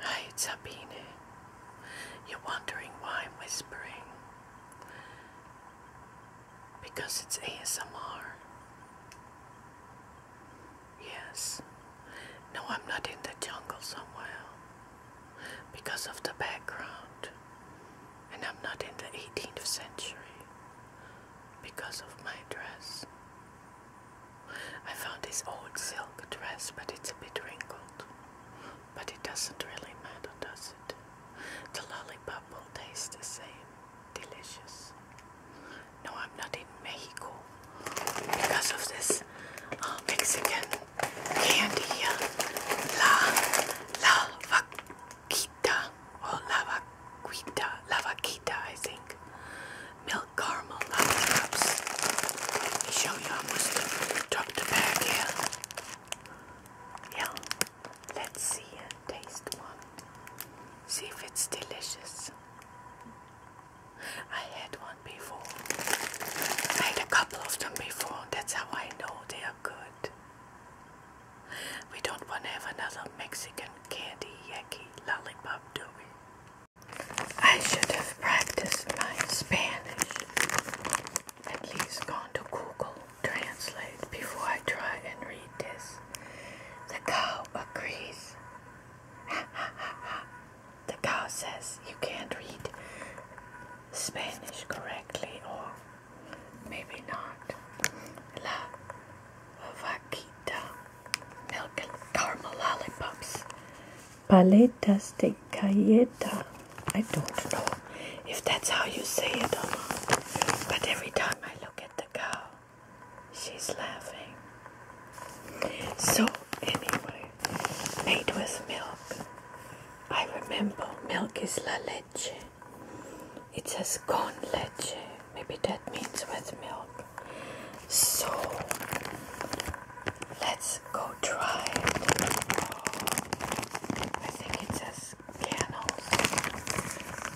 Hi, it's Sabine. You're wondering why I'm whispering? Because it's ASMR. Yes. No, I'm not in the jungle somewhere. Because of the background. And I'm not in the 18th century. Because of my dress. I found this old silk dress, but it's a bit wrinkled. But it doesn't really matter, does it? The lollipop will taste the same. Delicious. No, I'm not in Mexico because of this uh, Mexican candy uh, La, la vaquita, or la vaquita, la vaquita, I think milk caramel lollipops. Let me show you almost took the bag here. Yeah, let's see and taste one. See if it's delicious. I had one before. I had a couple of them before. That's how I know they are good. We don't want to have another Mexican candy yucky lollipop, do we? I should have practiced my Spanish. At least gone to Google Translate before I try and read this. The cow agrees. the cow says you can't read Spanish correctly, or maybe not. La vacita milk and caramel lollipops. Paletas de galleta. I don't know if that's how you say it but every time I look at the cow, she's laughing. So, anyway, made with milk. I remember milk is la leche. It says con leche. Maybe that means with milk. So let's go try it. I think it says camels.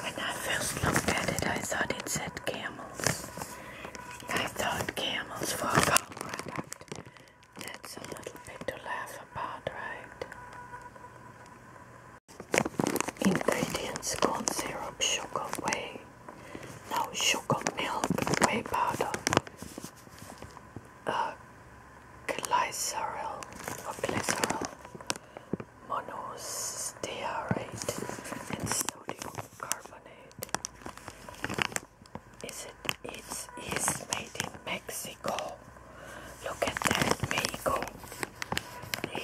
When I first looked at it, I thought it said camels. I thought camels for a product. That's a little bit to laugh about, right? Ingredients corn syrup, sugar, whey no sugar milk, whey powder, uh, glycerol, or glycerol, monostearate, and sodium carbonate. Is it? It's made in Mexico. Look at that, Mexico.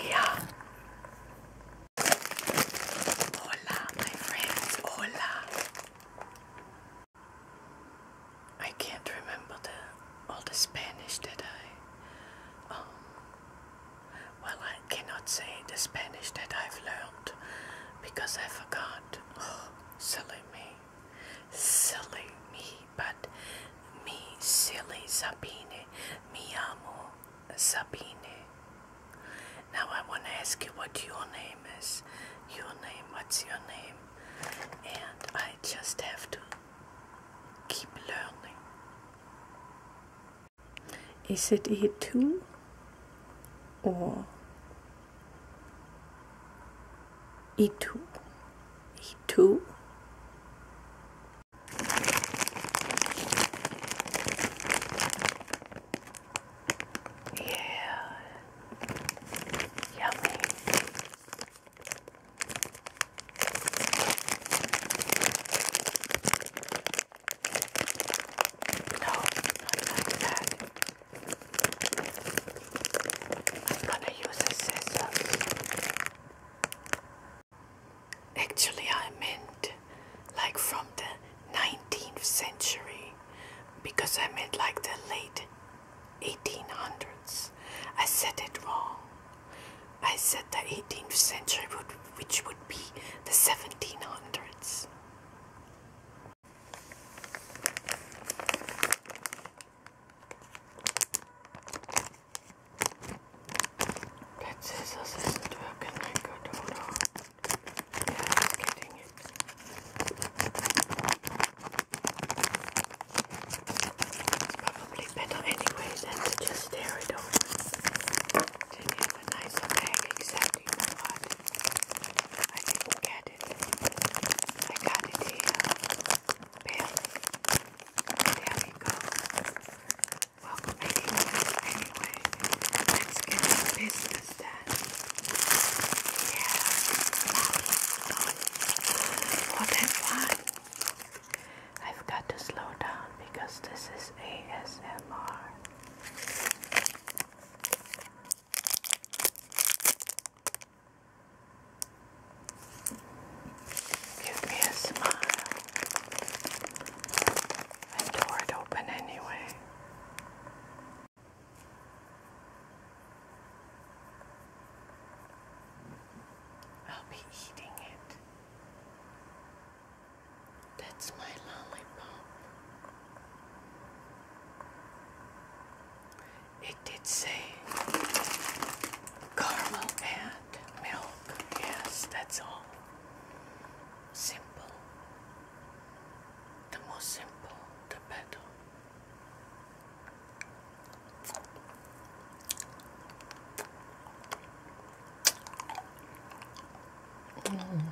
Yeah. Hola, my friends. Hola. I can't remember the all the Spanish that I. Um, well, I cannot say the Spanish that I've learned because I forgot. Oh, silly me, silly me. But me, silly Sabine, me amo. Sabine. Now I want to ask you what your name is. Your name, what's your name? And I just have to keep learning. Is it E2 or E2? E2? Yeah, yummy. No, not like that. I'm gonna use a scissors. Actually, I meant like from the 19th century because I meant like the late 1800s. I said it wrong. I said the 18th century, would, which would be the 1700s. That scissors isn't working like good, hold on. Yeah, i it. It's probably better anyway than to just tear it open. Then you have exactly what? I didn't get it. I got it here. There we go. Well, anyway, let's get the done. Yeah, for that one, I've got to slow down because this is ASMR. Give me a smile. I tore it open anyway. I'll be eating it. That's my lollipop. It did say caramel and milk. Yes, that's all. Simple. The most simple, the better. Mm.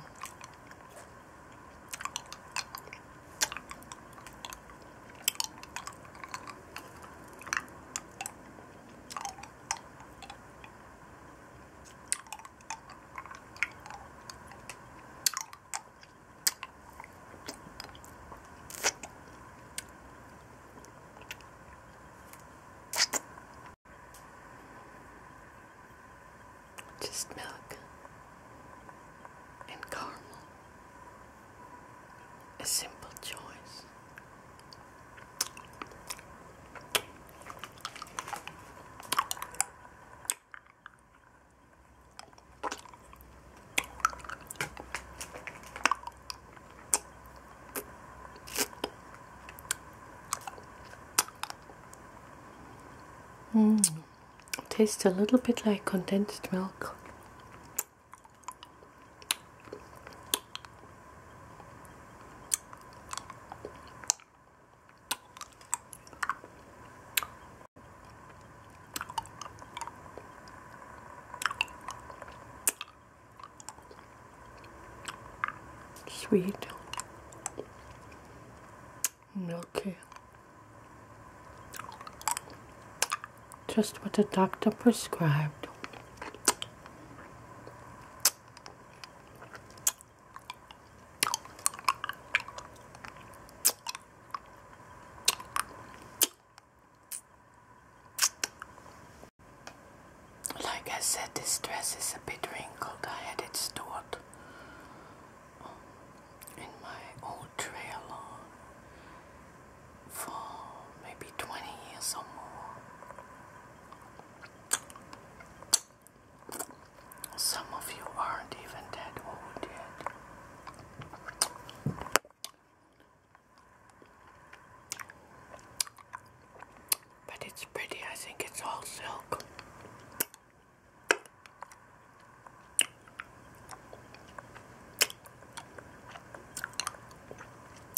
Just milk and caramel. A simple choice Mmm, Tastes a little bit like condensed milk sweet, milky. Just what the doctor prescribed. Like I said, this dress is a bit wrinkled. I had it stored in my old trailer for maybe 20 years or more. Some of you aren't even that old yet. But it's pretty, I think it's all silk.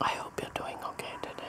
I hope you're doing okay today.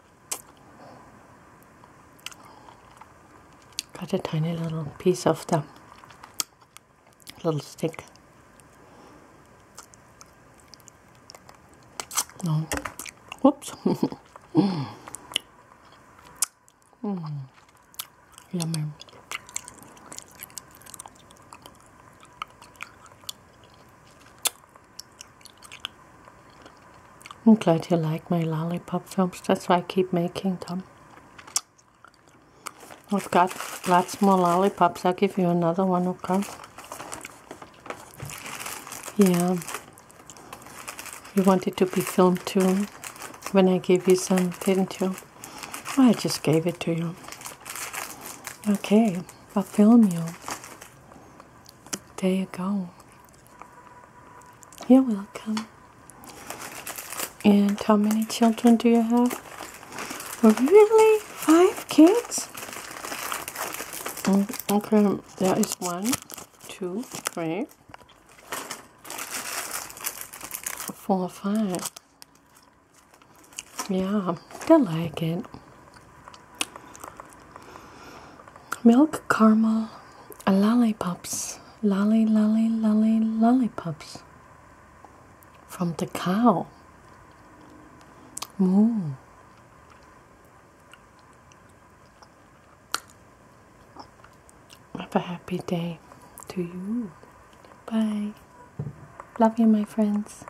got a tiny little piece of the little stick. No. Whoops. mm. Mm. Yummy. I'm glad you like my lollipop films. That's why I keep making them. I've got lots more lollipops. I'll give you another one, okay? Yeah. You wanted to be filmed too when I gave you some, didn't you? I just gave it to you. Okay, I'll film you. There you go. You're welcome. And how many children do you have? Really? Five kids? Mm, okay, there is one, two, three, four, five. Yeah, I like it. Milk caramel uh, lollipops, lolly, lolly, lolly, lollipops from the cow. Moo. Have a happy day to you. Bye. Love you, my friends.